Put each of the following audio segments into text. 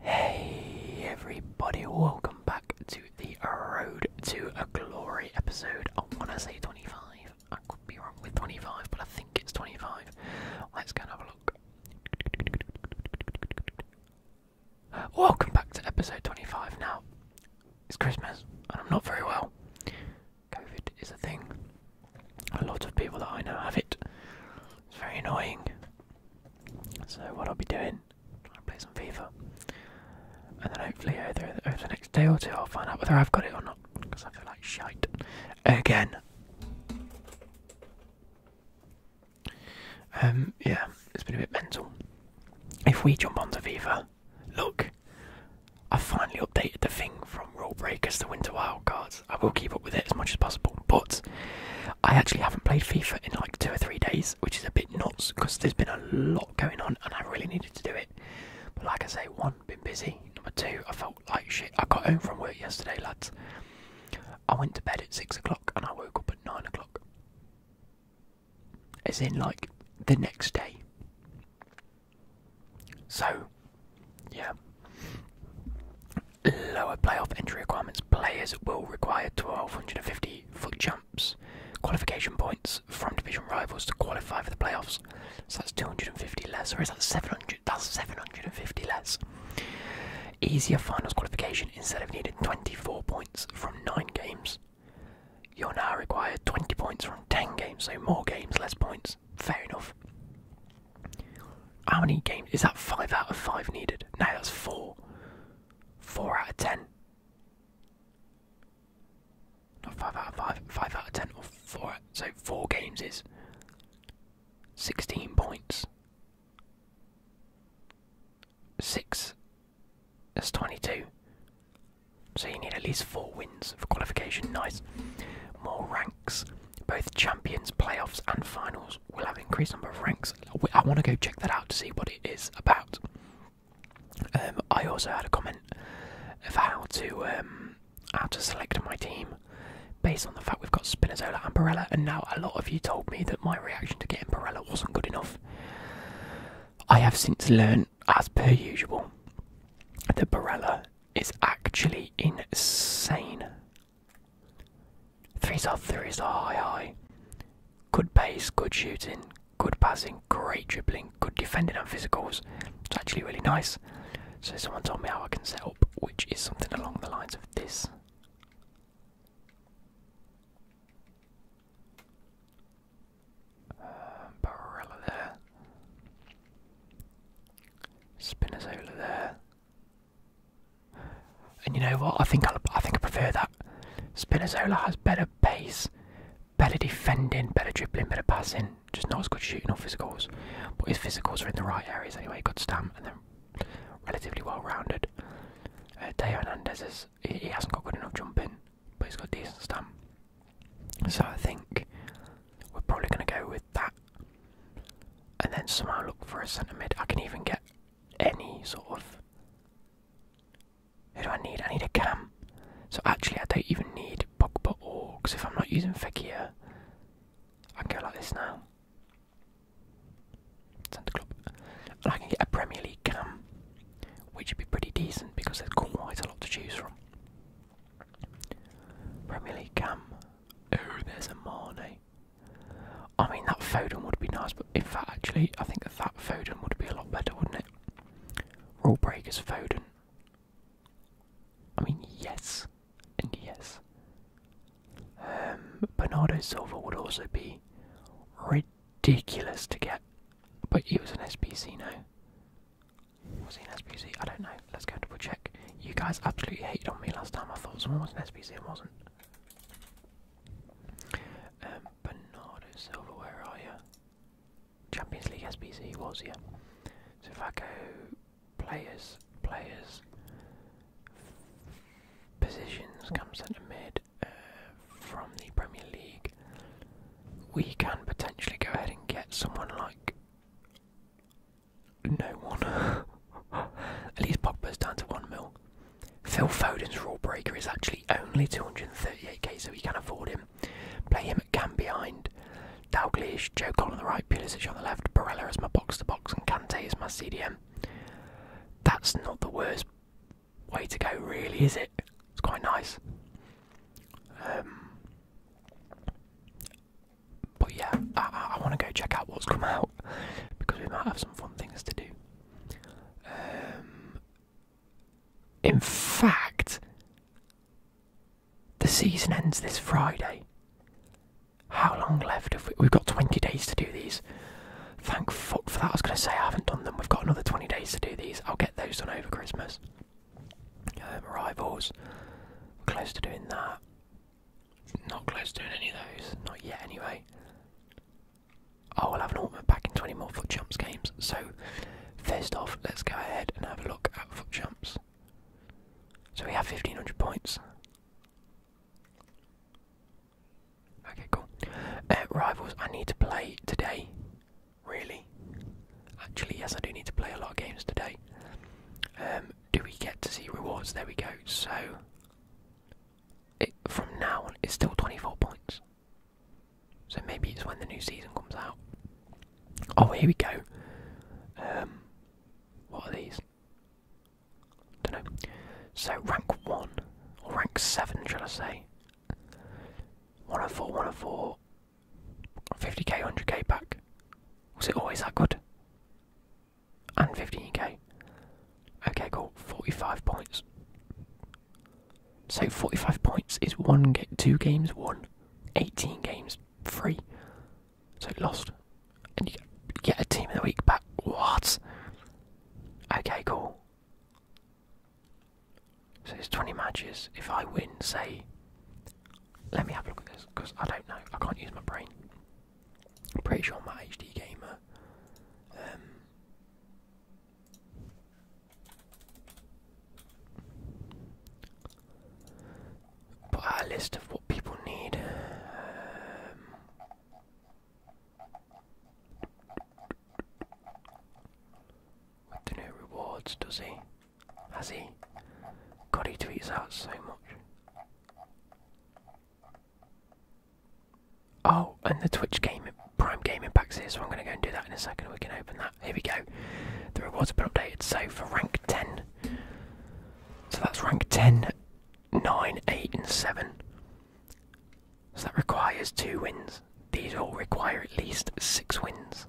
Hey everybody, welcome back to the Road to a Glory episode. I want to say 25. I could be wrong with 25, but I think it's 25. Let's go and have a look. Welcome back to episode 25. Now, it's Christmas and I'm not very well. COVID is a thing. A lot of people that I know have it. It's very annoying. So what I'll be doing, I'll play some FIFA, and then hopefully over, the next day or two I'll find out whether I've got it or not, because I feel like shite again. Um, yeah, it's been a bit mental. If we jump onto FIFA, look, I've finally updated the thing from Rule Breakers to Winter Wildcards. I will keep up with it as much as possible. But I actually haven't played FIFA in like two or three days, which is a bit nuts because there's been a lot going on and I really needed to do it. But like I say, one, been busy. Number two, I felt like shit. I got home from work yesterday, lads. I went to bed at six o'clock and I woke up at nine o'clock. As in, like, the next day. So, yeah. Lower playoff entry requirements. Players will require 1250 foot jumps, qualification points from division rivals to qualify for the playoffs. So that's 250 less, or is that 700? That's 750 less. Easier finals qualification instead of needing 24 points from 9 games. You're now required 20 points from 10 games, so more games, less points. Fair enough. How many games? Is that five out of five needed? Now that's four. Four out of ten. Not five out of five. Five out of ten or four. So four games is sixteen points. Six. That's twenty-two. So you need at least four wins for qualification. Nice. More ranks, both champions, playoffs, and finals we will have increased number of ranks. I want to go check that out to see what it is about. Um, I also had a comment of how to um, how to select my team based on the fact we've got Spinazzola and Barella, and now a lot of you told me that my reaction to getting Barella wasn't good enough. I have since learned, as per usual, that Barella is actually insane. Threes are threes are high high. Good pace, good shooting, good passing, great dribbling, good defending and physicals. It's actually really nice. So someone told me how I can set up, which is something along the lines of this. Um, Barella there. Spinazzola there. And you know what? I think I, think I prefer that. Spinazzola has better pace, better defending, better dribbling, better passing. Just not as good shooting or physicals. But his physicals are in the right areas anyway. Good stamp and then relatively well-rounded. Uh, Teo is, he, he hasn't got good enough jumping, but he's got decent stamp. So I think we're probably going to go with that. And then somehow look for a centre mid. I can even get any sort of. Who do I need? I need a cam. So actually, I don't even need Pogba or because if I'm not using Fekir, I can go like this now. Santa Club, and I can get a Premier League cam, which would be pretty decent because there's quite a lot to choose from. Premier League cam. Oh, there's a Mane. I mean, that Foden would be nice, but if that actually, I think that Foden would be a lot better, wouldn't it? Rule breakers Foden. I mean, yes, and yes. Um, Bernardo Silva would also be ridiculous to get, but he was an SPC, now. Was he an SBC? I don't know. Let's go double check. You guys absolutely hate on me last time. I thought someone was an SPC, and wasn't. Um, Bernardo Silva, are you? Champions League SBC was yeah. So if I go players, players, positions, come centre mid uh, from the Premier League, we can potentially go ahead and get someone like no one. At least Popper's down to one mil. Phil Foden's rule breaker is actually only 238k, so we can afford him. Play him at Cam behind. Dalglish, Joe Cole on the right, Pulisic on the left, Barella as my box to box, and Cante as my CDM. That's not the worst way to go, really, is it? It's quite nice. Um, but yeah, I want to go check out what's come out because we might have some fun things to do. Um, in fact, the season ends this Friday. How long left have we? We've got 20 days to do these. Thank fuck for that. I was going to say I haven't done them. We've got another 20 days to do these. I'll get those done over Christmas. Um, Rivals close to doing that. Not close to doing any of those. Not yet, anyway. I oh, will have an ultimate pack in 20 more foot jumps games. So, first off, let's go ahead and have a look at foot jumps. So we have 1500 points. Okay, cool. Uh, rivals, I need to play today. Really? Actually, yes, I do need to play a lot of games today. Um, do we get to see rewards? There we go. So, from now on, it's still 24 points. So maybe it's when the new season comes out. Oh, here we go. Um, what are these? Don't know. So rank one or rank seven, shall I say? One of four, one of four. 50k, 100k back. Was it always that good? And 15k. Okay, cool. 45 points. So 45 points is one ga two games won, 18 games free. So lost. And you get a team of the week back. What? Okay, cool. So there's 20 matches. If I win, say. Let me have a look at this, because I don't know. I can't use my brain. pretty sure I'm a HD gamer. Um, Put out a list of what people need. Um, with the new rewards, does he? Has he? God, he tweets out so much. Oh, and the Twitch game Prime game impacts here, so I'm going to go and do that in a second. We can open that. Here we go. The rewards have been updated. So for rank 10, so that's rank 10, 9, 8, and 7. So that requires two wins. These all require at least six wins.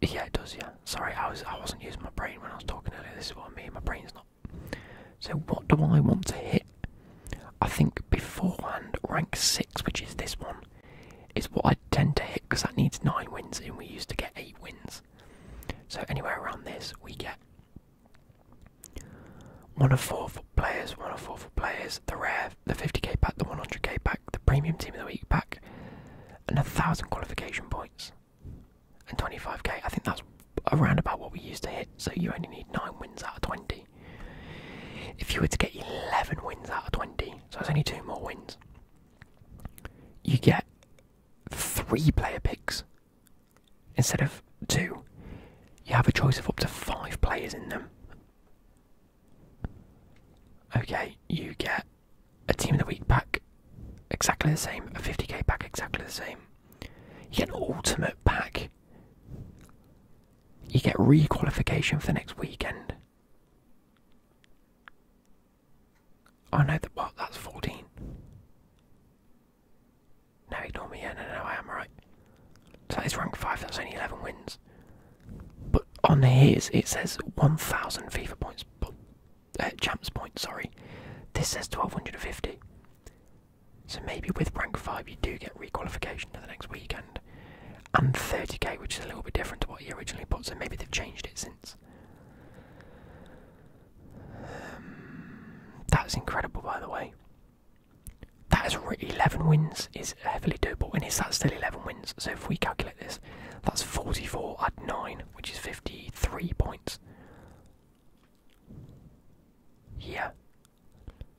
Yeah, it does. Yeah, sorry, I was I wasn't using my brain when I was talking earlier. This is what I mean. My brain's not so what do I want to hit? I think beforehand, rank 6, which is this one, is what I tend to hit because that needs 9 wins and we used to get 8 wins. So anywhere around this, we get one of four for players, one of four for players, the rare, the 50k pack, the 100k pack, the premium team of the week pack, and a thousand qualification points and 25k. I think that's around about what we used to hit, so you only need 9 wins out of 20. If you were to get 11 wins out of 20, so it's only 2 more wins, you get 3 player picks instead of 2. You have a choice of up to 5 players in them. Okay, you get a team of the week pack exactly the same, a 50k pack exactly the same, you get ultimate pack. You get re-qualification for the next weekend. I oh, know that. Well, that's fourteen. No, ignore me. no, no, I am right. So that is rank five. That's only eleven wins. But on his, it says one thousand FIFA points. But uh, champs points. Sorry, this says twelve hundred and fifty. So maybe with rank 5 you do get requalification to the next weekend. And 30k, which is a little bit different to what he originally put, so maybe they've changed it since. Um, that's incredible, by the way. That is 11 wins is heavily doable, and is that still 11 wins? So if we calculate this, that's 44 at 9, which is 53 points. Yeah.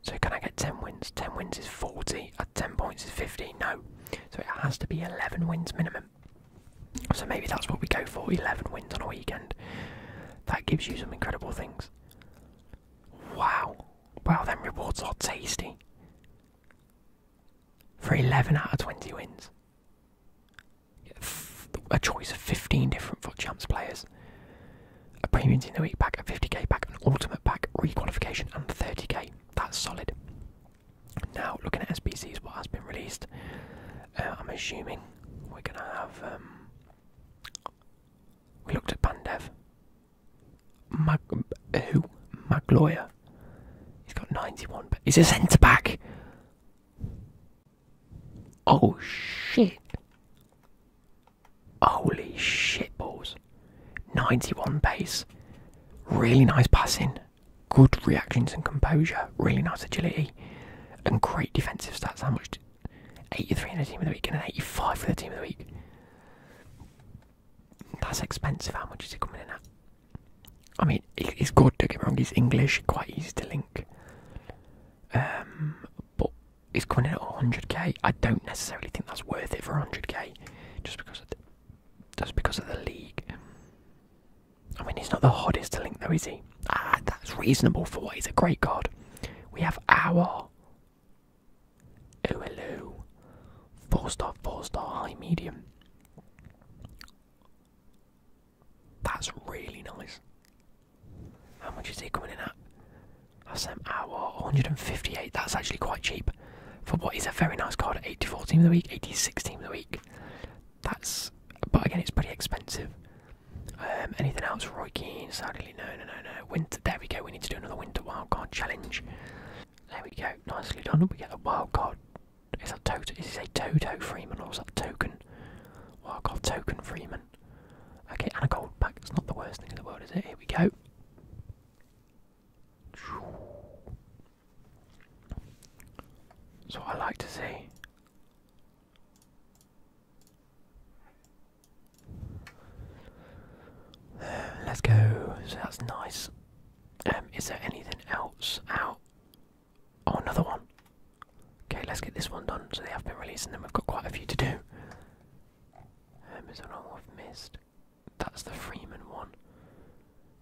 So can I get 10 wins? 10 wins is 40, at uh, 10 points is fifty. no. So it has to be 11 wins minimum. So maybe that's what we go for, 11 wins on a weekend. That gives you some incredible things. Wow. Wow, Then rewards are tasty. For 11 out of 20 wins a choice of 15 different foot champs players, a premium team the week pack, a 50k pack, an ultimate pack, requalification, and 30k. That's solid. Now, looking at SPCs, what has been released, uh, I'm assuming we're going to have. Um, we looked at Pandev. Mag, who? Magloya. He's got 91. he's a centre back. Oh shit! Holy shit balls! 91 pace, really nice passing, good reactions and composure, really nice agility, and great defensive stats. How much? 83 in the team of the week and an 85 for the team of the week. That's expensive. How much is he coming in at? I mean, he's good. Don't get me wrong. He's English, quite easy to link. Um, but He's going in at 100k. I don't necessarily think that's worth it for 100k, just because of the, just because of the league. I mean, he's not the hottest link though, is he? Ah, that's reasonable for what he's a great god. We have our OLO, four star, four star, high medium. That's really nice. How much is he coming in at? That's an ah, hour, 158. That's actually quite cheap for what is a very nice card. 84 team of the week, 86 team of the week. That's, but again, it's pretty expensive. Um, anything else? Roy Keane, sadly, no, no, no, no. Winter, there we go. We need to do another winter wildcard challenge. There we go. Nicely done. We get a wildcard. Is that Toto? Is a Toto Freeman or is that Token? Wildcard Token Freeman. Okay, and a gold pack. It's not the worst thing in the world, is it? Here we go. That's what I like to see. let's go. So that's nice. Um, is there anything else out? Oh, another one. Okay, let's get this one done. So they have been released, and then We've got quite a few to do. Um, is there one I've missed? That's the Freeman one.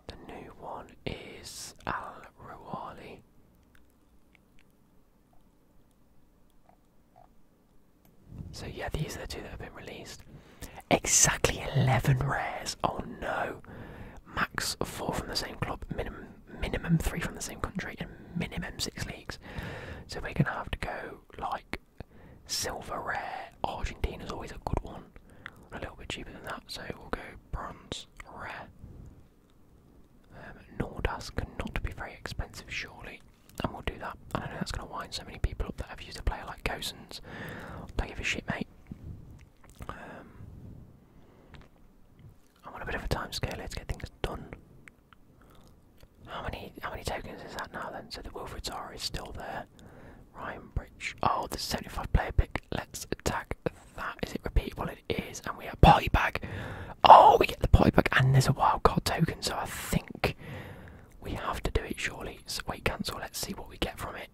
The new one is Al Ruwali. So yeah, these are the two that have been released. Exactly 11 rares. Oh no. Max 4 from the same club, minimum minimum three from the same country and minimum six leagues. So we're gonna have to go like silver rare. Argentina is always a good one. A little bit cheaper than that, so we'll go bronze rare. Um, cannot be very expensive, surely, and we'll do that. I don't know that's gonna wind so many people up that have used a player like Gosens. Don't give a shit, mate. Um, i want a bit of a time scale Let's get things done. How many how many tokens is that now then? So the Wilfred Zara is still there. Ryan Bridge. Oh, the 75 player pick. Let's attack that. Is it Repeat. repeatable? It is. And we have party bag. Oh, we get the party bag and there's a wild card token. So I think we have to do it surely. So wait, cancel. Let's see what we get from it.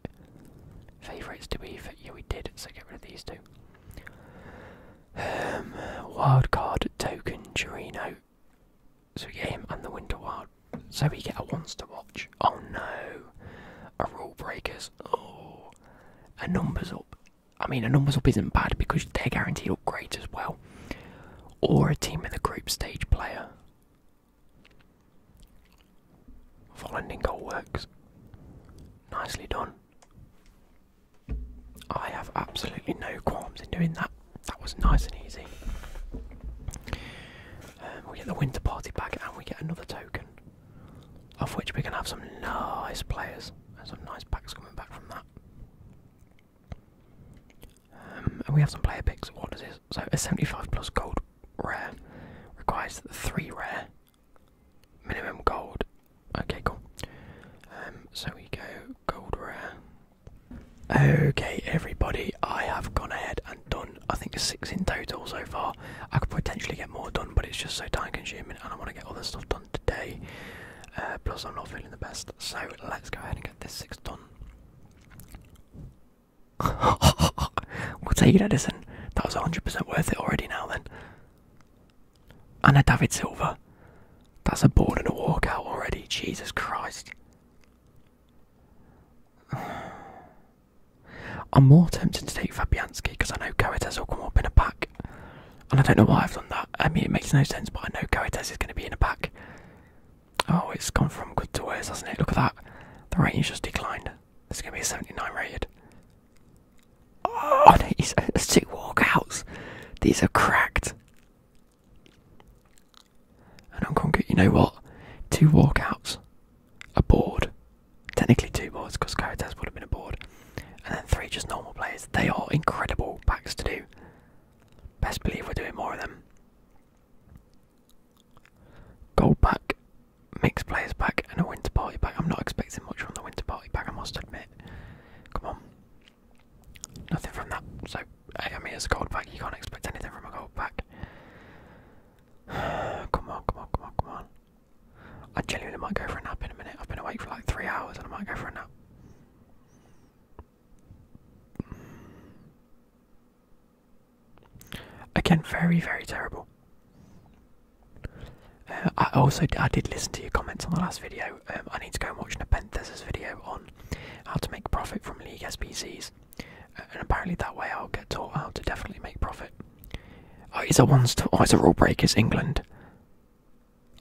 Favourites, do we? Yeah, we did. So get rid of these two. Um, wildcard token Girino. So we get him and the Winter Wild. So we get a once to watch. Oh no. A rule breakers. Oh. A numbers up. I mean, a numbers up isn't bad because they're guaranteed upgrades as well. Or a team in the group stage player. Full goal works. Nicely done. I have absolutely no qualms in doing that. That was nice and easy. Um, we get the winter party pack, and we get another token, of which we can have some nice players and some nice packs coming back from that. Um, and we have some player picks. What this? So a 75 plus gold rare requires three rare, minimum gold, Okay, cool. Um, so we go gold rare. Okay, everybody, I have gone ahead and done, I think, six in total so far. I could potentially get more done, but it's just so time consuming and I want to get all this stuff done today. Uh, plus, I'm not feeling the best, so let's go ahead and get this six done. we'll take it, Edison. That was 100% worth it already now, then. And a David Silver. That's a board and a walkout already, Jesus Christ. I'm more tempted to take Fabianski because I know Coates will come up in a pack. And I don't know why I've done that. I mean, it makes no sense, but I know Coates is going to be in a pack. Oh, it's gone from good to worse, hasn't it? Look at that. The rating's just declined. This is going to be a 79 rated. Oh, these, there's two walkouts. These are cracked. And I'm Hong Kong, you know what? Two walkouts, a board, technically two boards because Caritas would have been a board, and then three just normal players. They are incredible backs to do. Best believe we're doing more of them. Gold pack, mixed players pack, and a winter party pack. I'm not expecting much from the winter party pack, I must admit. Come on. Nothing from that. So, I mean, it's a gold bag. You can't expect anything from a gold bag. come on, come on, come on, come on. I genuinely might go for a nap in a minute. I've been awake for like three hours and I might go for a nap. Again, very, very terrible. Uh, I also I did listen to your comments on the last video um, I need to go and watch an Nepenthes' video on how to make profit from League SPCs, uh, and apparently that way I'll get taught how to definitely make profit. Oh, it's a one star. Oh, it's a rule break. England.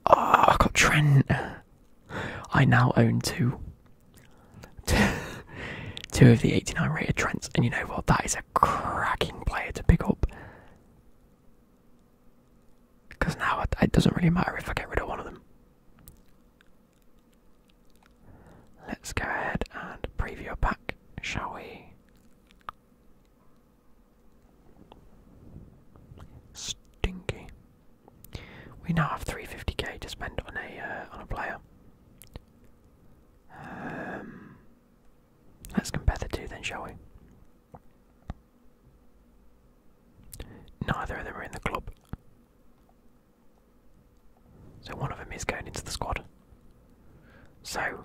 Oh, ah, I got Trent. I now own two. of the 89 rated Trents, and you know what? That is a cracking player to pick up. Because now it, doesn't really matter if I get rid of one of them. Let's go ahead and preview a pack, shall we? Stinky. We now have 350k to spend on a uh, on a player. Um, let's compare the two then, shall we? Neither of them are in the club. So one of them is going into the squad. So,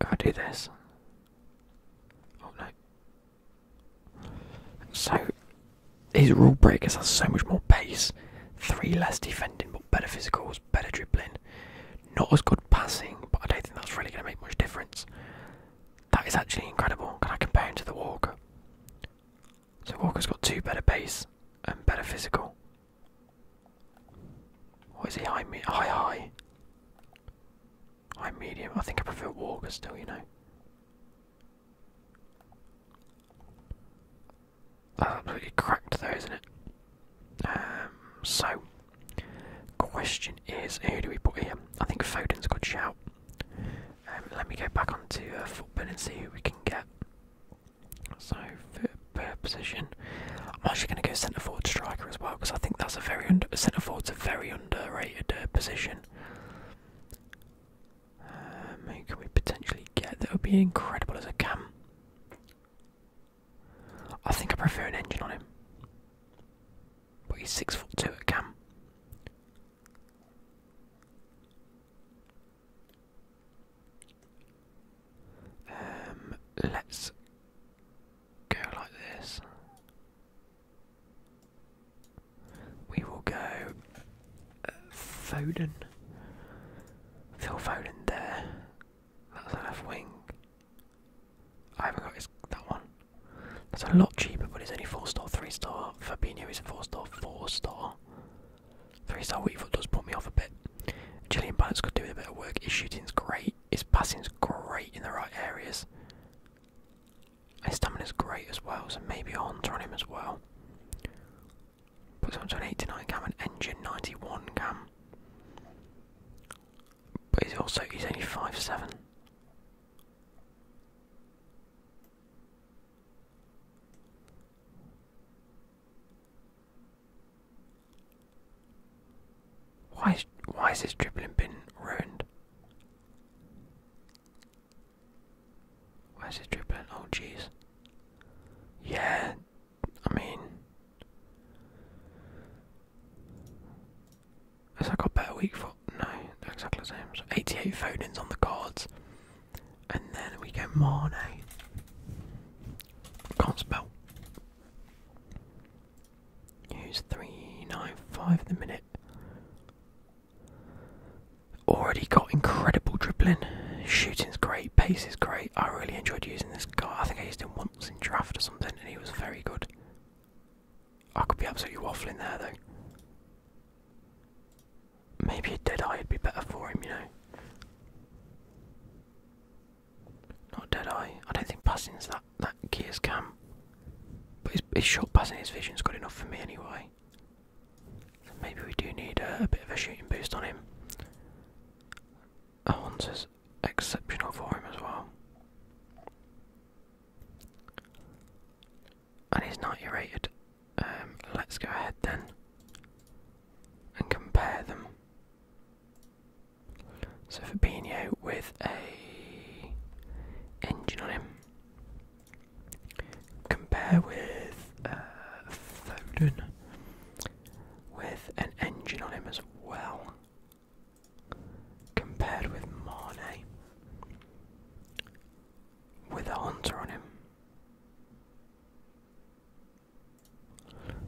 if I do this. Oh, so, these rule breakers have so much more pace, three less defending, but better physicals, better dribbling. Not as good passing, but I don't think that's really going to make much difference. That is actually incredible. Can I compare him to the Walker? So Walker's got two better base and better physical. Why is he high, me high, high? High medium. I think I prefer Walker still, you know. That's absolutely cracked though, isn't it? Um, so, Question is, who do we put here? I think Foden's a good shout. Um, let me go back onto a uh, football and see who we can get. So, per position, I'm actually going to go centre forward striker as well because I think that's a very under centre forward's a very underrated uh, position. Um, who can we potentially get? That would be incredible as a cam. I think I prefer an engine on him. But he's six foot two at Cam. Um, let's go like this. We will go uh, Foden. Phil Foden there. That's a left wing. I haven't got that one. That's a lot cheaper, but it's only 4 star, 3 star. Fabinho is 4 star, 4 star. 3 star Weaver does put me off a bit. Julian Balance could do a bit of work. His shooting's great, his passing's great in the right areas. His stamina's great as well, so maybe Horns on him as well. But him to 89 cam, and engine 91 cam. But he's also, he's only five seven. Why is, why is this dribbling been ruined? Why is this dribbling? Oh jeez. Yeah, I mean has that got better week for? No, exactly the same. So 88 Foden's on the cards. And then we get Mane. Can't spell. Use 395 the minute. Already got incredible dribbling. Shooting's great, pace is great. I really enjoyed using this guy. I think I used him once in draft or something and he was very good. I could be absolutely waffling there though. Maybe a dead eye would be better for him, you know. Not dead eye. I don't think passing is that that gears cam. But his, his short passing his vision's good enough for me anyway. maybe we do need a, bit of a shooting boost on him. That one's exceptional for him as well. And he's 90 rated. Um, let's go ahead then and compare them. So Fabinho with a engine on him. Compare with uh, Foden with an engine on him as well compared with Mane with a hunter on him.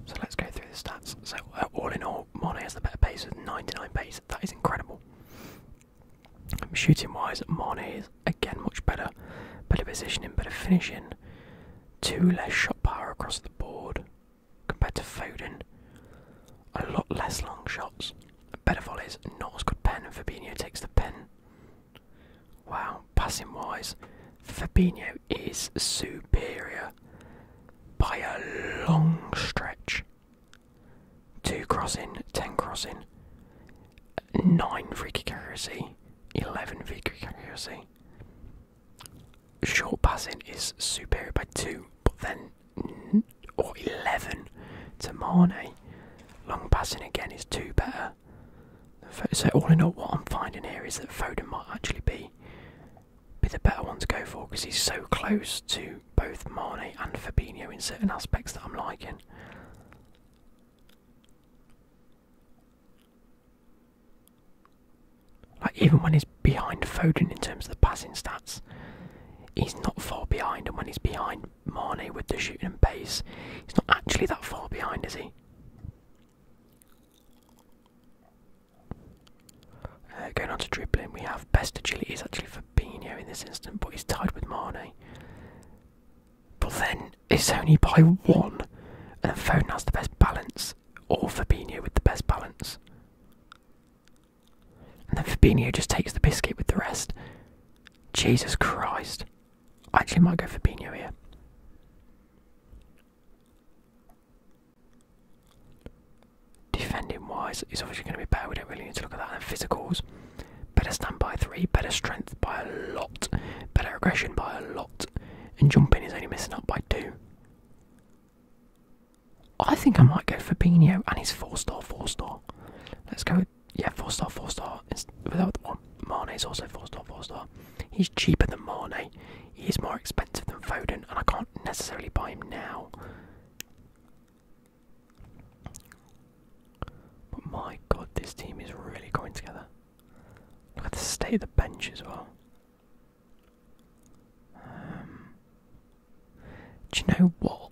So let's go through the stats. So uh, all in all, Mane has the better pace with 99 pace. That is incredible. Um, Shooting wise, Mane is again much better. Better positioning, better finishing. Two less shot power across the board compared to Foden a lot less long shots, better volleys, not as good pen, and takes the pen. Wow, passing wise, Fabinho is superior by a long stretch. Two crossing, ten crossing, nine free kick accuracy, eleven free kick accuracy. Short passing is superior by two, but then or 11 to Mane. Long passing again is two better. So all in all, what I'm finding here is that Foden might actually be be the better one to go for because he's so close to both Mane and Fabinho in certain aspects that I'm liking. Like even when he's behind Foden in terms of the passing stats, he's not far behind, and when he's behind Mane with the shooting base, he's not actually that far behind, is he? Uh, going on to dribbling, we have best agility is actually Fabinho in this instant, but he's tied with Mane. But then it's only by one, and Foden has the best balance, or Fabinho with the best balance. And then Fabinho just takes the biscuit with the rest. Jesus Christ. I actually might go Fabinho here. Defending wise is obviously going to be better. We don't really need to look at that. And physicals. Better stand by three. Better strength by a lot. Better aggression by a lot. And jumping is only missing up by two. I think I might go for Fabinho, and he's four star, four star. Let's go. yeah, four star, four star. It's, without the one, Mane's also four star, four star. He's cheaper than Mane. He is more expensive than Foden, and I can't necessarily buy him now. But my God, this team is really coming together. Look at to stay at the bench as well. Um, do you know what?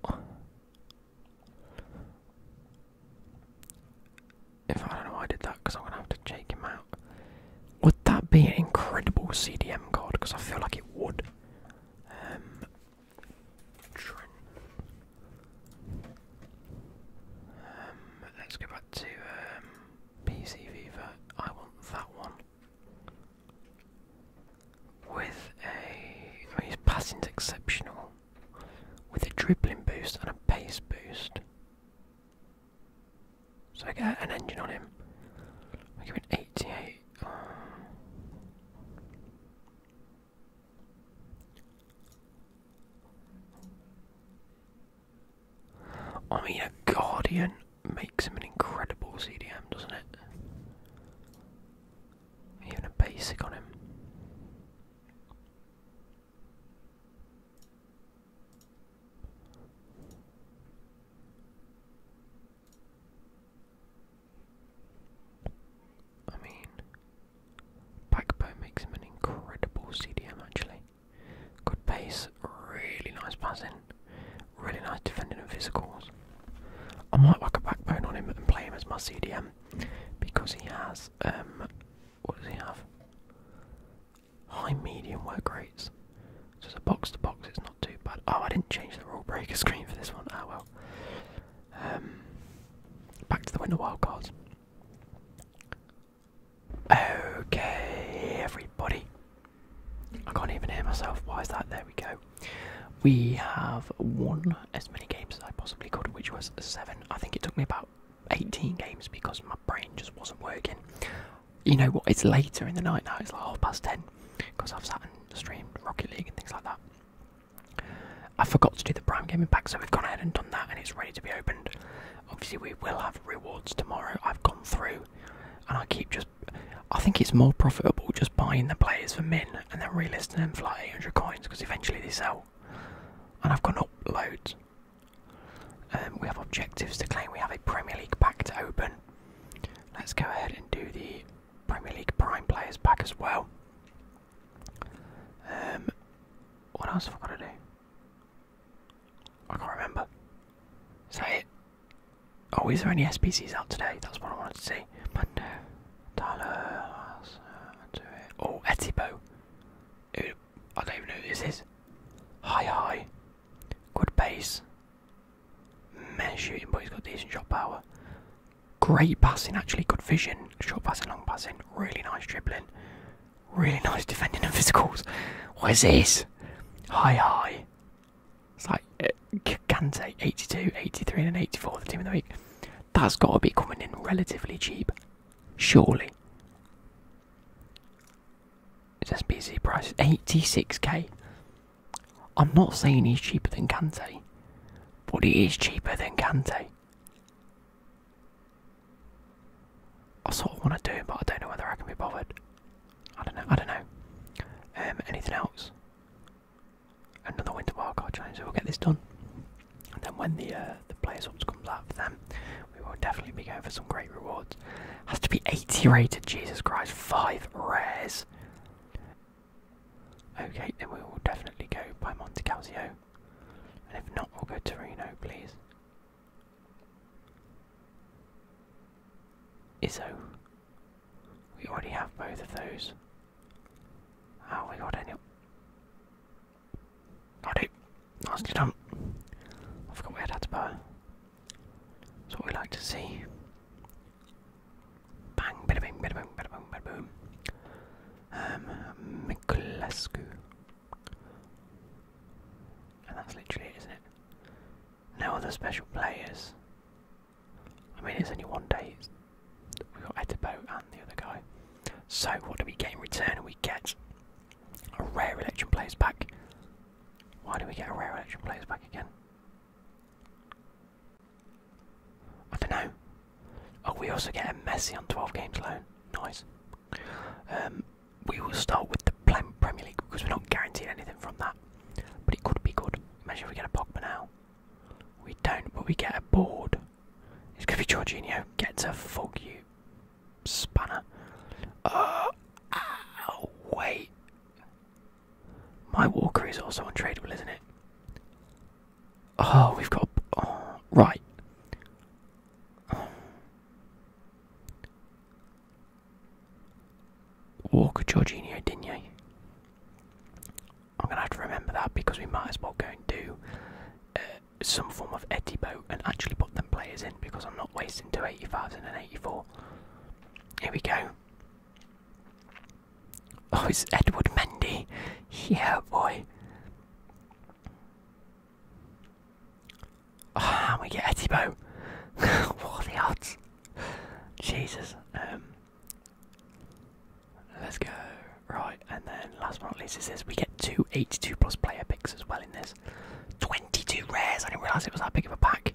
If I don't know I did that, because I'm gonna have to check him out. Would that be an incredible CDM card? Because I feel like it would. Um, um, let's go back to um, I want that one with a mean, his passing's exceptional. With a dribbling boost and a pace boost. So I get an engine on him. I give it 88. I mean, a Guardian makes him an incredible CDM, doesn't it? Even a basic on him. I mean, Backbone makes him an incredible CDM actually. Good pace, really nice passing, really nice defending and physicals. I might whack a backbone on him and play him as my CDM because he has um what does he have? High medium work rates. So it's a box to box, it's not too bad. Oh I didn't change the rule breaker screen for this one. Ah well. Um back to the winter wild cards. Okay everybody. I can't even hear myself. Why is that? There we go. We have won as many games as I possibly could, which was seven. I think it took me about 18 games because my brain just wasn't working. You know what? It's later in the night now, it's like half past 10 because I've sat and streamed Rocket League and things like that. I forgot to do the Prime Gaming Pack, so we've gone ahead and done that, and it's ready to be opened. Obviously, we will have rewards tomorrow. I've gone through, and I keep just I think it's more profitable just buying the players for min and then relisting them for like 800 coins because eventually they sell. And I've gone up loads. Um, we have objectives to claim. We have a Premier League pack to open. Let's go ahead and do the Premier League Prime Players pack as well. Um, what else have I got to do? I can't remember. Is it? Oh, is there any SPCs out today? That's what I wanted to see. But no. Tyler, oh, Etibo. Who, I don't even know who this is. Hi, hi. Good pace. Man shooting, but he's got decent shot power. Great passing, actually. Good vision. Short passing, long passing. Really nice dribbling. Really nice defending and physicals. What is this? Hi, hi. It's like, Kante 82, 83, and 84 the team of the week. That's got to be coming in relatively cheap, surely. It's SBC price 86k. I'm not saying he's cheaper than Kante, but he is cheaper than Kante. I sort of want to do him, but I don't know whether I can be bothered. I don't know. I don't know. Um, anything else? another winter wildcard challenge, so we'll get this done. And then when the uh, the players ops comes out for them, we will definitely be going for some great rewards. Has to be 80 rated, Jesus Christ, five rares. Okay, then we will definitely go by Monte Calcio. And if not, we'll go to Reno, please. Izzo. We already have both of those. Oh, we got any. Got it. Nicely done. I forgot we had Atapar. That's what we like to see. Bang, bada bing, bada bing, bada boom, um, And that's literally it, isn't it? No other special players. I mean, it's only one day. We got Etterbo and the other guy. So, what do we get in return? We get a rare election players back. Why do we get a rare election players back again? I don't know. Oh, we also get a Messi on 12 games alone. Nice. Um, we will start with the Premier League because we're not guaranteed anything from that. But it could be good. Imagine if we get a Pogba now. We don't, but we get a board. It's going to be Jorginho. Get to fuck you, spanner. Oh, ow, wait. My walker is also untradeable, isn't it? Oh, we've got. Oh, right. Walker Jorginho, didn't you? I'm gonna have to remember that because we might as well go and do uh, some form of Eddie boat and actually put them players in because I'm not wasting two eighty-five and an 84. Here we go. Oh, it's Edward Mendy. Yeah, boy. Oh, and we get Eddie boat. what are the odds? Jesus. Um, Let's go. Right, and then last but not least is this. We get two 82 plus player picks as well in this. 22 rares. I didn't realise it was that big of a pack.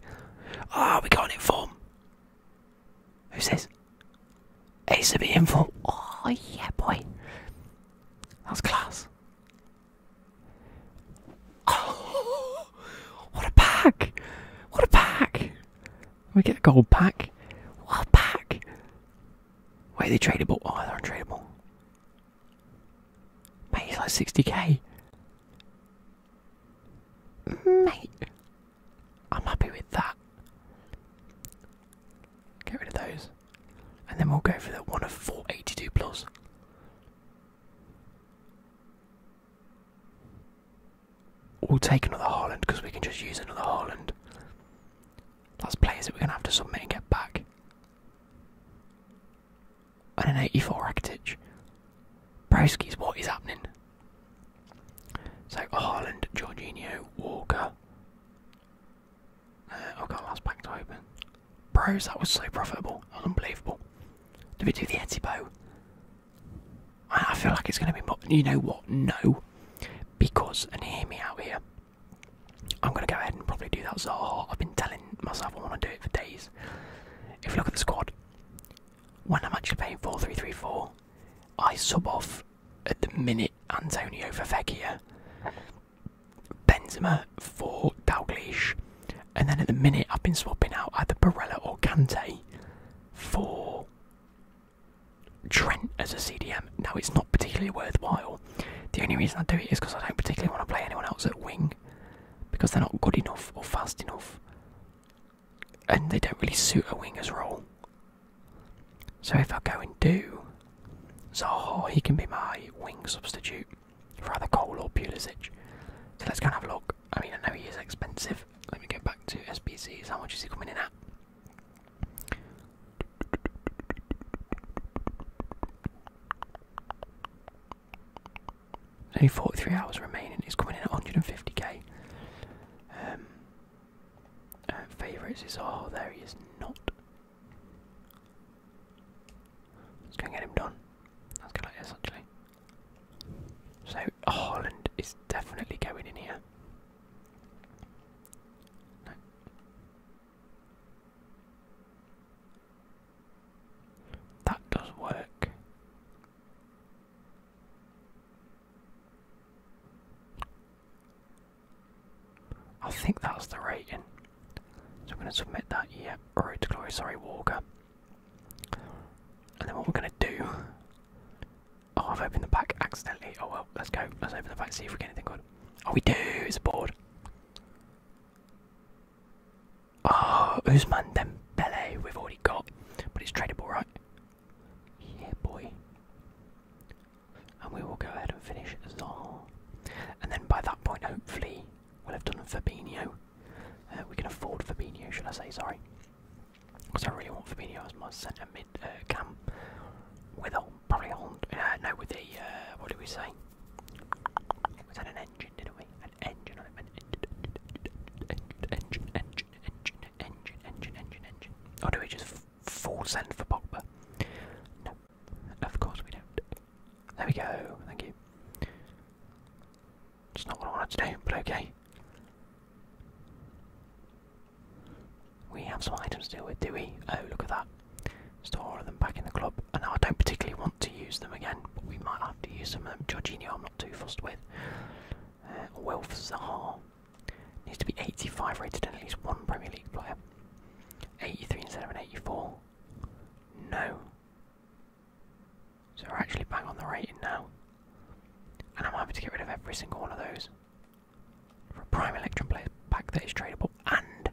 Oh, we got an inform. Who's this? Ace of the inform. Oh, yeah, boy. That's class. Oh, what a pack! What a pack! We get a gold pack. What pack? Wait, they tradable. Are oh, they're Mate, it's like 60k. Mate, I'm happy with that. Get rid of those. And then we'll go for the one of 482 plus. We'll take another Holland because we can just use another Holland. That's players that we're going to have to submit and get back. And an 84 Rakitic. Broski's, what is happening? So Holland, Jorginho, Walker. Uh, oh god, last pack to open. Bros, that was so profitable. That unbelievable. Did we do the Etibo? I feel like it's going to be. More, you know what? No, because and hear me out here. I'm going to go ahead and probably do that Zaha. I've been telling myself I want to do it for days. If you look at the squad, when I'm actually playing four three three four, I sub off at the minute Antonio for Benzema for Dalgleish, and then at the minute I've been swapping out either Barella or Cante for Trent as a CDM. Now it's not particularly worthwhile. The only reason I do it is because I don't particularly want to play anyone else at wing because they're not good enough or fast enough, and they don't really suit a winger's role. So if I go and do Zaha, he can be my wing substitute for either Cole or Pulisic. So let's go and have a look. I mean, I know he is expensive. Let me go back to SBCs. How much is he coming in at? Only 43 hours remaining. It's coming in at 150k. Um, Favourites is. Oh, there he is not. Let's go and get him done. That's us go like this, actually. So, Holland is definitely going in here. That does work. I think that's the rating. So I'm going to submit that, yeah, Road to Glory, sorry, Walker. And then what we're going to do Oh, I've opened the pack accidentally. Oh well, let's go. Let's open the pack, see if we get anything good. Oh, we do! It's a board. Oh, Usman Dembele, we've already got. But it's tradable, right? Yeah, boy. And we will go ahead and finish Zaha. And then by that point, hopefully, we'll have done Fabinho. Uh, we can afford Fabinho, should I say, sorry. Because I really want Fabinho as my centre mid uh, cam. With a, probably Holland. Uh, no, with a, uh, what did we say? Was that an engine, didn't we? An engine, I meant engine, engine, engine, engine, engine, engine, engine, engine, engine. Or do we just full send for Pogba? No, of course we don't. There we go, thank you. It's not what I wanted to do, but okay. We have some items to deal with, do we? Oh, look at that. Store them back in the club. And I don't particularly want to use them again, but we might have to use some of them. Jorginho I'm not too fussed with. Uh, Wilf Zaha. Needs to be 85 rated and at least one Premier League player. 83 instead of an 84. No. So we're actually bang on the rating now. And I'm happy to get rid of every single one of those for a prime electron player pack that is tradable and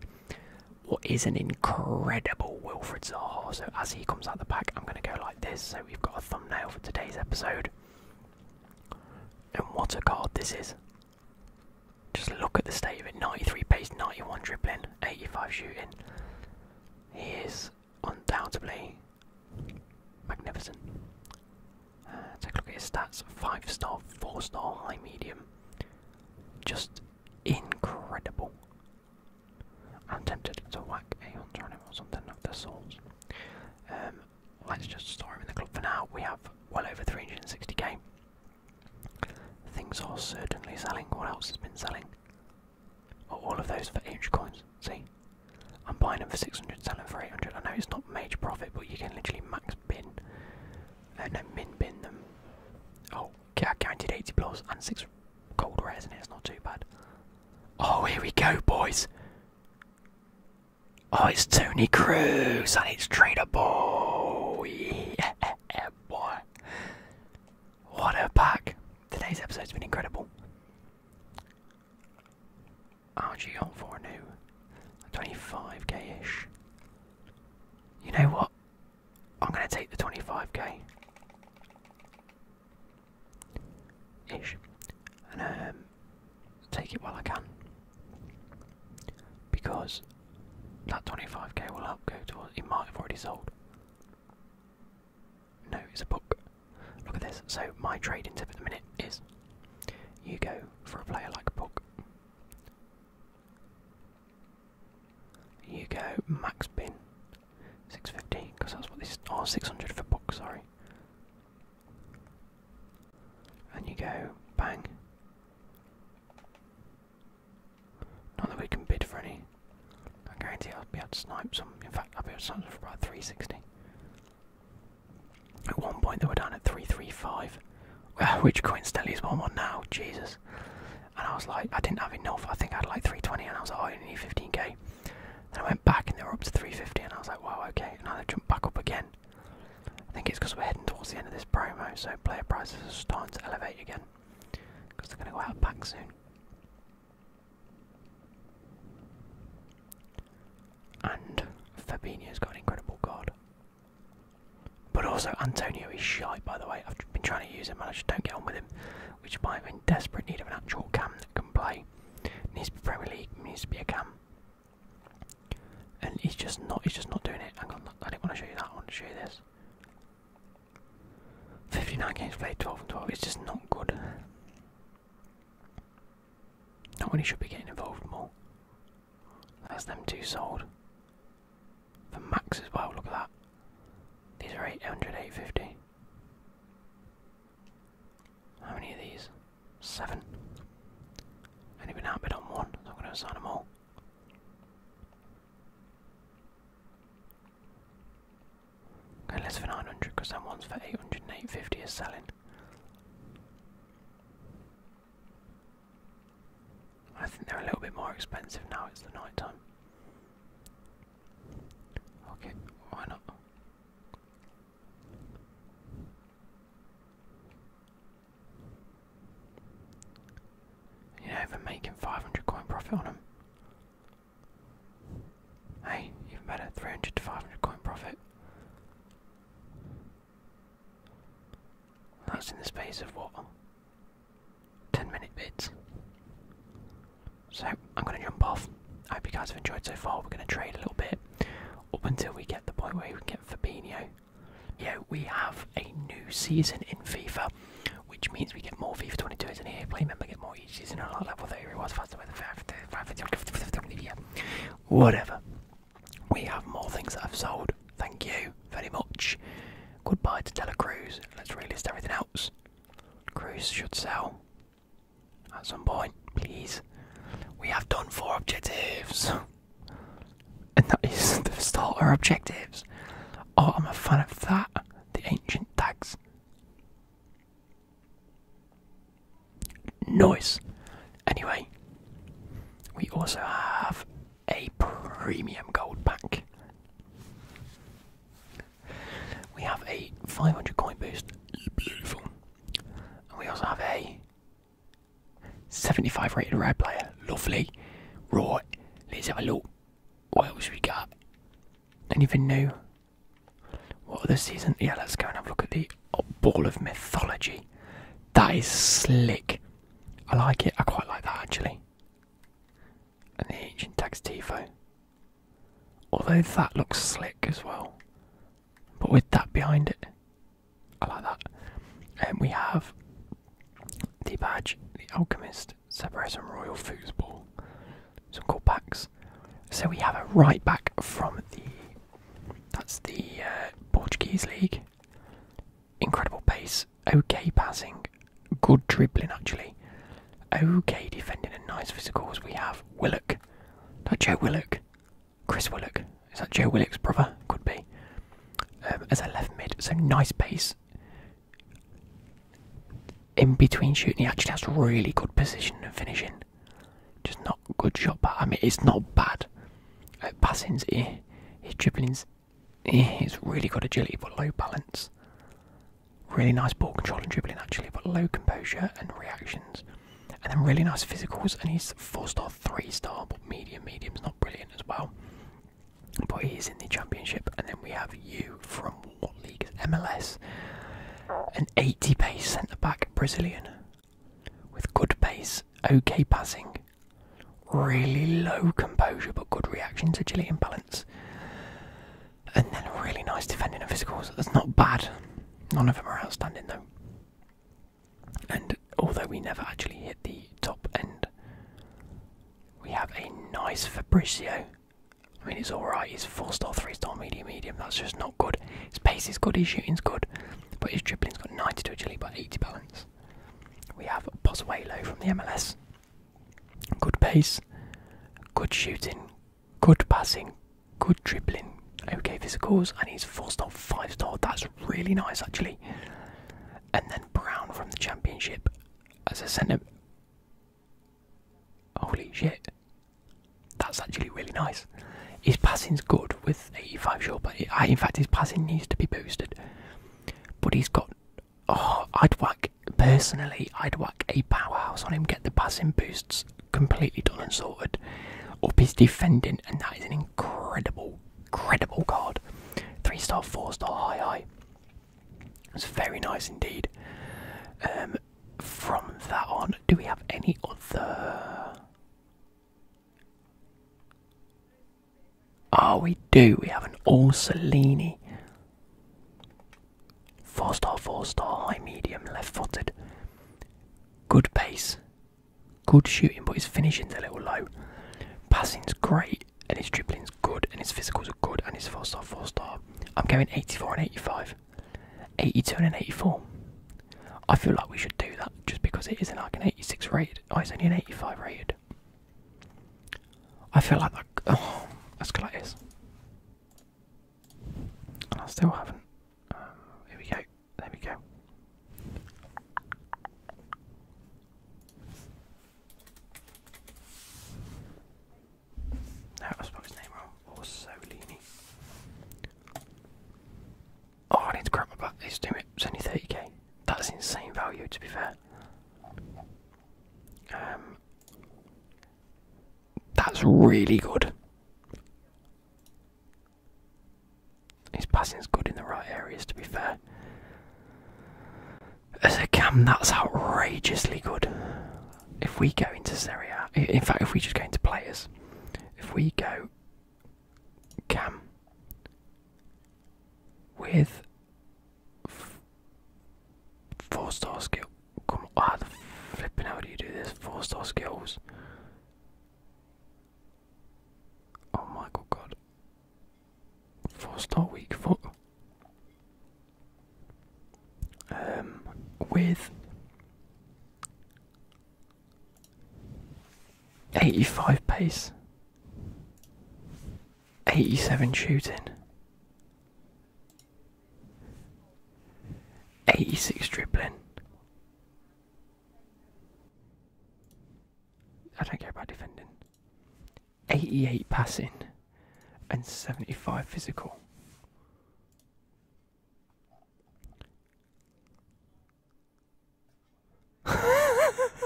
what is an incredible Wilfred Zaha. So as he comes out the pack, I'm going to go like this. So we've got a thumbnail for today's episode. And what a card this is. Just look at the state of it. 93 pace, 91 dribbling, 85 shooting. He is undoubtedly magnificent take a look at his stats 5 star, 4 star, high medium. Just incredible. I'm tempted to whack a hunter or something of the sorts. Um, let's just store him in the club for now. We have well over 360k. Things are certainly selling. What else has been selling? Oh, all of those for inch coins. See? I'm buying them for 600, selling for 800. I know it's not major profit, but you can literally max bin. no, min bin them. Oh, I counted 80 plus and 6 gold rares in it, it's not too bad. Oh, here we go, boys. Oh, it's Tony Cruz and it's tradable. Yeah, boy. What a pack. Today's episode's been incredible. RG on for new. 25k ish. You know what? I'm gonna take the 25k. Ish. And um take it while I can. Because that 25k will help go towards it might have already sold. No, it's a book. Look at this. So my trading tip at the minute is you go for a player like Puck. You go max bin. 650, because that's what this Oh, 600 for Puck, sorry. And you go bang. Not that we can bid for any. I guarantee I'll be able to snipe some. In fact, I'll be able to snipe some for about 360. At one point they were down at 335, which coincidentally is one i now, Jesus. And I was like, I didn't have enough, I think I had like 320 and I was like, oh, I only need 15k. Then I went back and they were up to 350 and I was like, wow, okay. And now they jumped back up again. I think it's because we're heading towards the end of this promo, so player prices are starting to elevate again. Because they're going to go out back soon. And Fabinho's got an incredible guard. But also, Antonio is shy, by the way. I've been trying to use him and I just don't get on with him, which is why I'm in desperate need of an actual cam that can play. Needs to be Premier League, needs to be a cam. And he's just not he's just not doing it. Hang on, I didn't want to show you that, I want to show you this. 59 games played, 12 and 12, it's just not good. Not when he should be getting involved more. That's them two sold. For max as well, look at that. These are 800, 850. How many of these? Seven. Only been outbid on one, so I'm going to assign them all. Okay, less for 900 because that one's for 800 and 850 is selling. I think they're a little bit more expensive now, it's the night time. Okay, why not? You know, even making 500 coin profit on them. Hey, even better, 300 to 500 coin profit. That's in the space of what? 10 minute bits. So I'm going to jump off. I hope you guys have enjoyed so far. We're going to trade a little bit up until we get the point where we get Fabinho. Yeah, we have a new season in FIFA, which means we get more FIFA 22 as an EA Play member, get more each season on our level 30 rewards faster with the 5 whatever. We have more things that have sold. Thank you very much. Goodbye to Cruz. Let's relist everything else. Cruz should sell at some point, please. We have done four objectives. And that is the start starter objectives. Oh, I'm a fan of that. The ancient tags. Nice. Anyway, we also have a premium gold pack. We have a 500 coin boost, beautiful. we also have a 75 rated rare player, lovely. Right, let's have a look. What else we got? Anything new? What other season? Yeah, let's go and have a look at the a ball of mythology. That is slick. I like it. I quite like that actually. And the ancient text, Tifo. Although that looks slick as well. But with that behind it. I like that. And we have the badge, the alchemist, Separation Royal Foosball. Some cool packs. So we have a right back from the that's the uh, Portuguese league. Incredible pace, okay passing, good dribbling actually, okay defending and nice physicals. We have Willock, that Joe Willock, Chris Willock, is that Joe Willock's brother? Could be. Um, as a left mid, so nice pace. In between shooting, he actually has really good position and finishing. Just not good shot, but I mean, it's not bad. Uh, passing's eh, his dribbling's eh, he's really got agility but low balance. Really nice ball control and dribbling actually, but low composure and reactions. And then really nice physicals, and he's four star, three star, but medium, medium's not brilliant as well. But he's in the championship, and then we have you from what league is MLS? An 80 pace centre back Brazilian with good pace, okay passing, Really low composure but good reactions, agility and balance. And then really nice defending and physicals. That's not bad. None of them are outstanding though. And although we never actually hit the top end, we have a nice Fabricio. I mean, he's alright, he's 4 star, 3 star, medium, medium. That's just not good. His pace is good, his shooting's good, but his dribbling's got 92 agility by 80 balance. We have Pozuelo from the MLS. Good pace, good shooting, good passing, good dribbling, okay physicals, and he's four star, five star. That's really nice actually. And then Brown from the Championship as a centre. Holy shit. That's actually really nice. His passing's good with 85 sure, but I, in fact, his passing needs to be boosted. But he's got. Oh, I'd whack. Personally, I'd whack a powerhouse on him, get the passing boosts completely done and sorted. Up his defending, and that is an incredible, incredible card. Three star, four star, high, high. It's very nice indeed. Um, from that on, do we have any other. Oh, we do. We have an All Salini. Four star, four star, high medium, left footed. Good pace. Good shooting, but his finishing's a little low. Passing's great, and his dribbling's good, and his physicals are good, and his four star, four star. I'm going 84 and 85. 82 and 84. I feel like we should do that just because it isn't like an 86 rated. Oh, it's only an 85 rated. I feel like that. Oh, let's go like this. I still haven't. Um, here we go. There we go. I spelled his name wrong. Orsolini. Oh, I need to grab my back. It's doing it. It's only 30k. That's insane value, to be fair. Um, that's really good. His passing's good in the right areas, to be fair. As a cam, that's outrageously good. If we go into Serie in fact, if we just go into players, if we go cam, with four star skill. Come on, how ah, the flipping how do you do this? Four star skills. Oh my god, god. Four star weak foot. Um, with 85 pace. 87 shooting. 86 dribbling. I don't care about defending. 88 passing and 75 physical.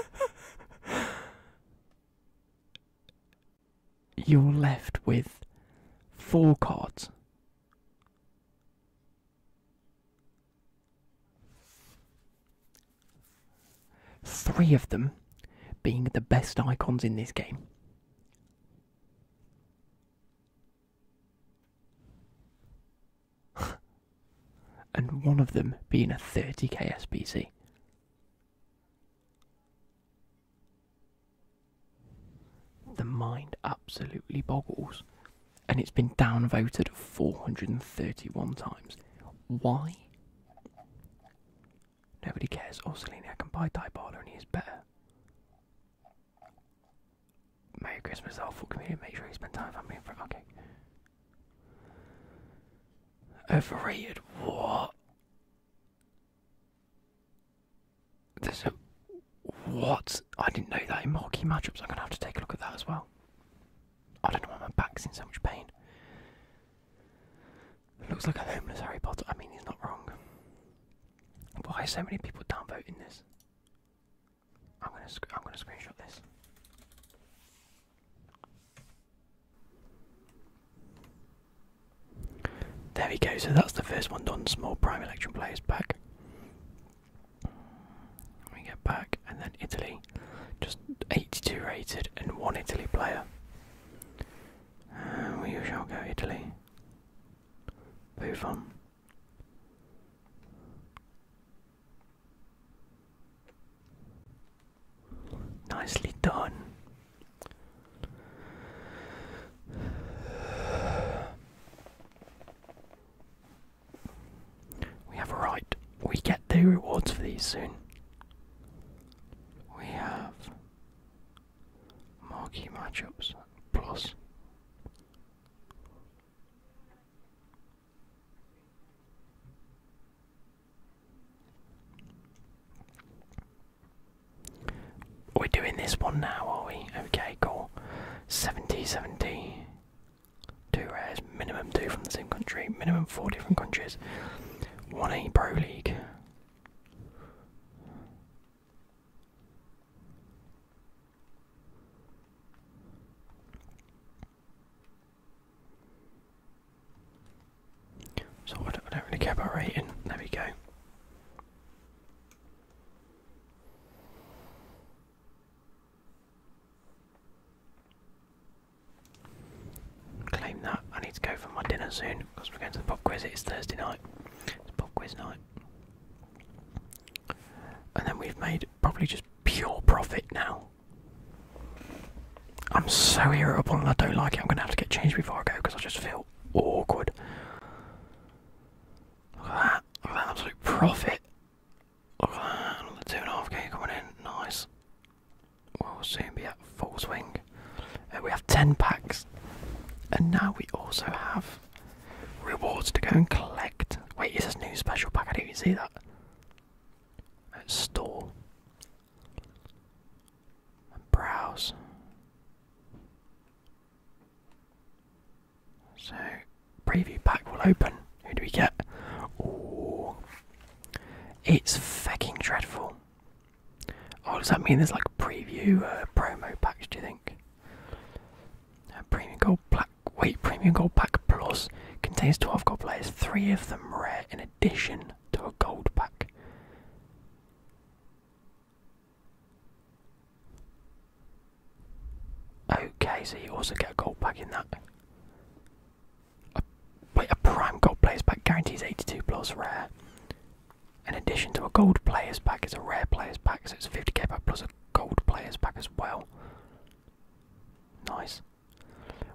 You're left with four cards. Three of them being the best icons in this game. and one of them being a 30k SBC. The mind absolutely boggles, and it's been downvoted 431 times. Why? Nobody cares. Oh, Selenia can buy Diabolo and he is better. Merry Christmas, awful community. Make sure you spend time with family and friends. Okay. Overrated what? There's a what? I didn't know that in marquee matchups. I'm gonna have to take a look at that as well. I don't know why my back's in so much pain. looks like a homeless Harry Potter. I mean, he's not wrong. Why are so many people downvoting this? I'm gonna I'm gonna screenshot this. There we go. So that's the first one done. Small prime electron players back. We get back, and then Italy, just 82 rated, and one Italy player. Uh, we shall go Italy. Buffon. Nicely done. We have a right. We get the rewards for these soon. We have marquee matchups plus we're doing this one now, are we? Okay, cool. 70, 70. Two rares, minimum two from the same country, minimum four different countries. 1A Pro League. So I don't, really care about rating. There we go. Claim that. I need to go for my dinner soon because we're going to the pop quiz. It's Thursday night. It's pop quiz night. And then we've made probably just pure profit now. I'm so irritable and I don't like it. I'm gonna have to get changed before I go because I just feel awkward. Look at that. Look at that absolute profit. Look at that. Another two and a half K coming in. Nice. We'll soon be at full swing. Uh, we have 10 packs. And now we also have rewards to go and collect. Wait, is this new special pack? I didn't even see that and store browse. So preview pack will open. Who do we get? Oh, it's fucking dreadful. Oh, does that mean there's like a preview uh, promo pack? Do you think? Uh, premium gold, black Wait, Premium Gold Pack Plus contains 12 gold players, three of them rare in addition to a gold pack. Okay, so you also get a gold pack in that. wait, a prime gold players pack guarantees 82 plus rare. In addition to a gold players pack, it's a rare players pack, so it's 50k pack plus a gold players pack as well. Nice.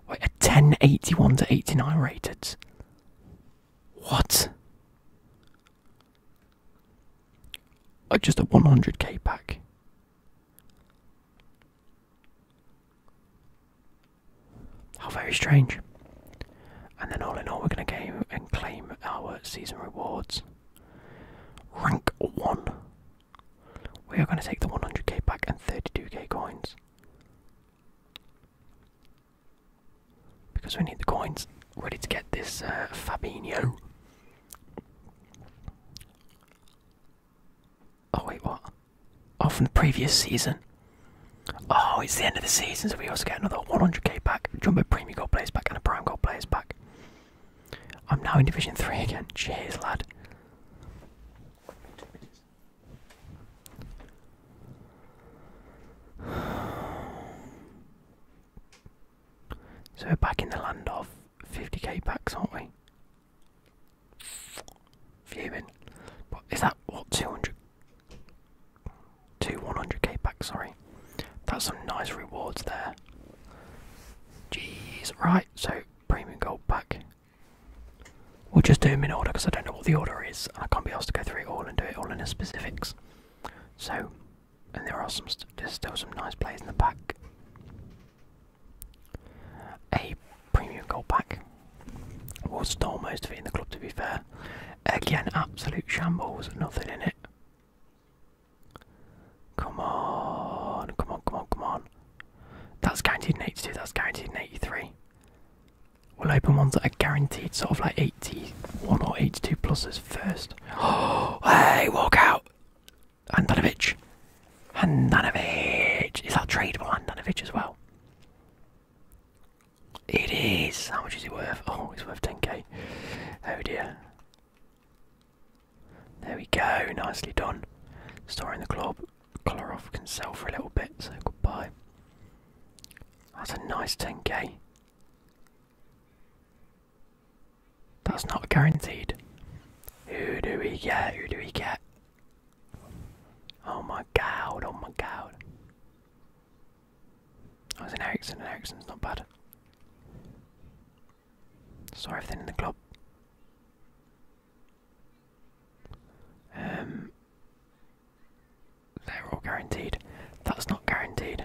Wait, a 1081 to 89 rated. What? Oh, just a 100k pack. How very strange. And then all in all, we're going to game and claim our season rewards. Rank 1. We are going to take the 100k back and 32k coins. Because we need the coins ready to get this uh, Oh, wait, what? Oh, from the previous season. Oh, it's the end of the season, so we also get another 100k back, Jumbo Premium Gold Players back, and a Prime Gold Players back. I'm now in Division 3 again. Cheers, lad. So we're back in the land of 50k packs, aren't we? Viewing, But is that what 200? Two 100k packs, sorry. That's some nice rewards there. Jeez, right, so premium gold pack. We'll just do them in order because I don't know what the order is, and I can't be asked to go through it all and do it all in the specifics. So, and there are some, st there's still some nice players in the back. A premium gold pack. Well, stole most of it in the club to be fair. Again, absolute shambles, nothing in it. Come on, come on, come on, come on. That's guaranteed in 82, that's guaranteed in 83. We'll open ones that are guaranteed sort of like 81 or 82 pluses first. hey, walk out! Handanovic! Handanovic! Is that tradable Handanovic as well? It is! How much is it worth? Oh, it's worth 10k. Oh dear. There we go, nicely done. Storing the club. Kolarov can sell for a little bit, so goodbye. That's a nice 10k. That's not guaranteed. Who do we get? Who do we get? Oh my god, oh my god. I was in Ericsson, and Ericsson's not bad. Sorry everything in the club. Um, they're all guaranteed. That's not guaranteed.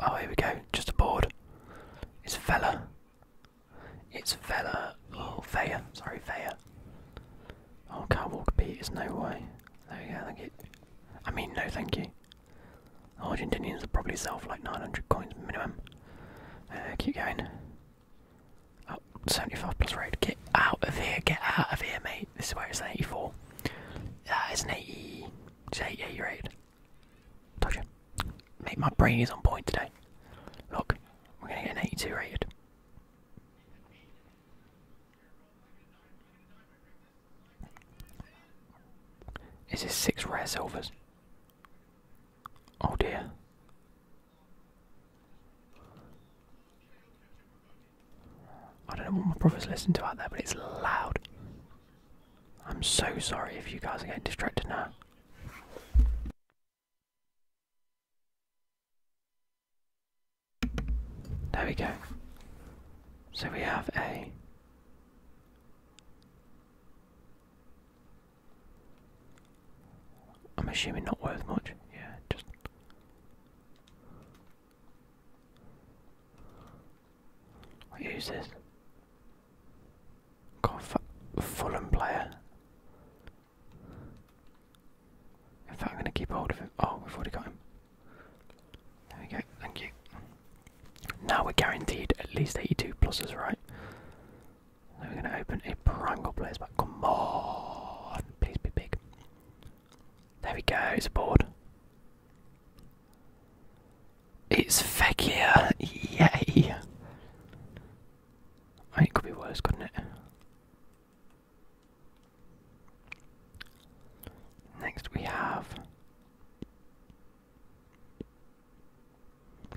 Oh, here we go. Just a board. It's Fella. It's Fella. Oh, Faya. Sorry, Faya. Oh, can't walk beat. There's no way. There we go. Thank you. I mean, no, thank you. Argentinians will probably sell for like 900 coins minimum. Uh, keep going. Oh, 75 plus rate. Get out of here, get out of here, mate. This is where it's an 84. That an 80. It's 88 raid. Mate, my brain is on point today. Look, we're gonna get an 82 rated. Is six rare silvers? Oh dear. I don't know what my brother's listening to out there, but it's loud. I'm so sorry if you guys are getting distracted now. There we go. So we have a I'm assuming not worth much. Yeah, just. Who's this? God, Fulham player. If I'm going to keep hold of him. Oh, we've already got him. There we go. Thank you. Now we're guaranteed at least 82 pluses, right? we're going to open a Prangle place, but Come on! Please be big. There we go, it's a board. It's Fekir! Yay! it could be worse, couldn't it? Next we have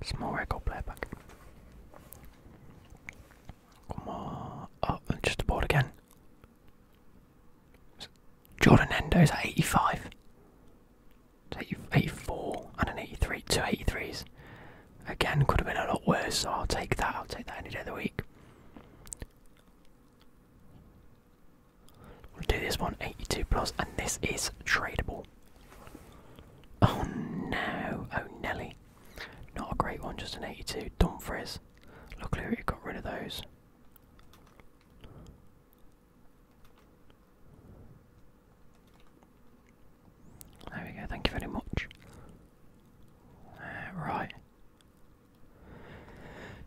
Small record playback. Come on. Oh, just the board again. Jordan Endo is at 85. 84 and an 83. two eighty-threes. Again, could have been a lot worse, so I'll take that. I'll take that any day of the week. We'll do this one 82 plus, and this is tradable. Oh no, oh Nelly. Not a great one, just an 82. Dumfries. Luckily we got rid of those. There we go, thank you very much. Uh, right.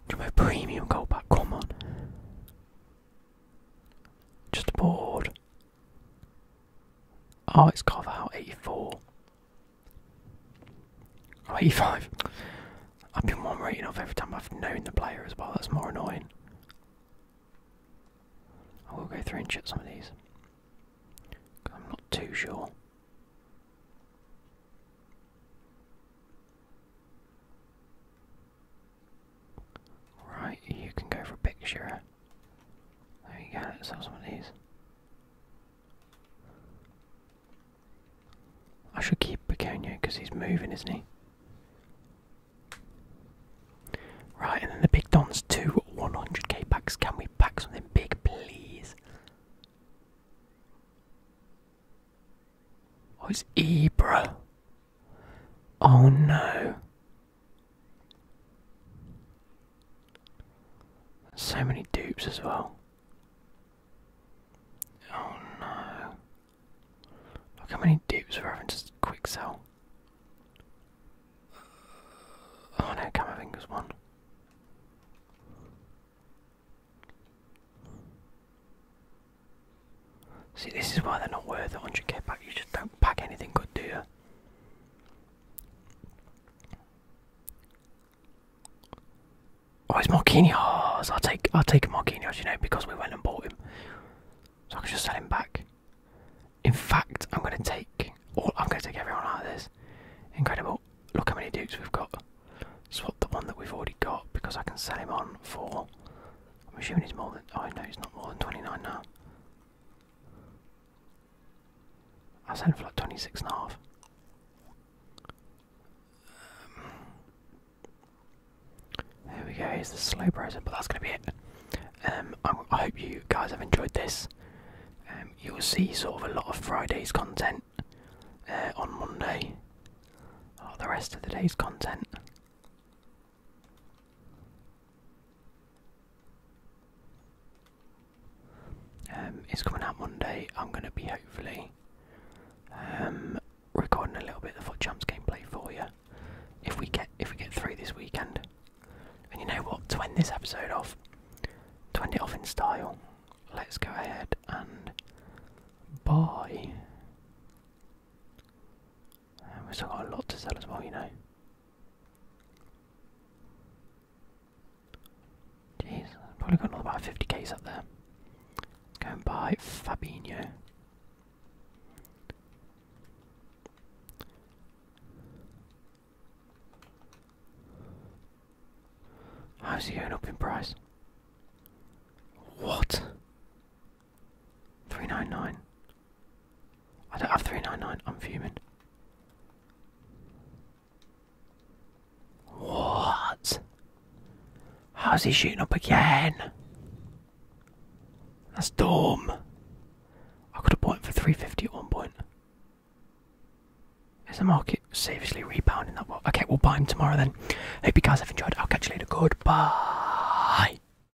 Do my premium goal back, come on. Just bored. Oh, it's carved out 84. 85. I've been one rating off every time I've known the player as well. That's more annoying. I will go through and check some of these. I'm not too sure. Right, you can go for a picture. There you go, let's some of these. I should keep Peconia because he's moving, isn't he? Right, and then the big dons, two 100k packs. Can we pack something big, please? Oh, it's Ebra. Oh no. So many dupes as well. Oh no. Look how many dupes we're having just quick sell. Oh no, Camavinga's one. See, this is why they're not worth 100k pack. You just don't pack anything good, do you? Oh, it's Marquinhos. I'll take I'll take Marquinhos, you know, because we went and bought him, so I can just sell him back. In fact, I'm going to take all. I'm going to take everyone out of this. Incredible! Look how many Dukes we've got. Swap the one that we've already got because I can sell him on for I'm assuming he's more than. Oh no, he's not more than 29 now. I sent heading for like 26 and a half. there um, we go, He's the slow browser, but that's going to be it. Um, I, hope you guys have enjoyed this. Um, you'll see sort of a lot of Friday's content uh, on Monday, a oh, the rest of the day's content. Um, it's coming out Monday. I'm going to be hopefully um, recording a little bit of the Foot Champs gameplay for you. If we get if we get through this weekend, and you know what, to end this episode off, to end it off in style, let's go ahead and buy we've still got a lot to sell as well, you know. Jeez, probably got another about 50k's up there. Let's go and buy Fabinho. How's he going up in price? What? 399. I don't have 399, I'm fuming. What? How's he shooting up again? That's dumb. I could have bought him for 350 at one point. Is the market seriously rebounding that well? Okay, we'll buy him tomorrow then. Hope you guys have enjoyed. I'll catch you later. Goodbye.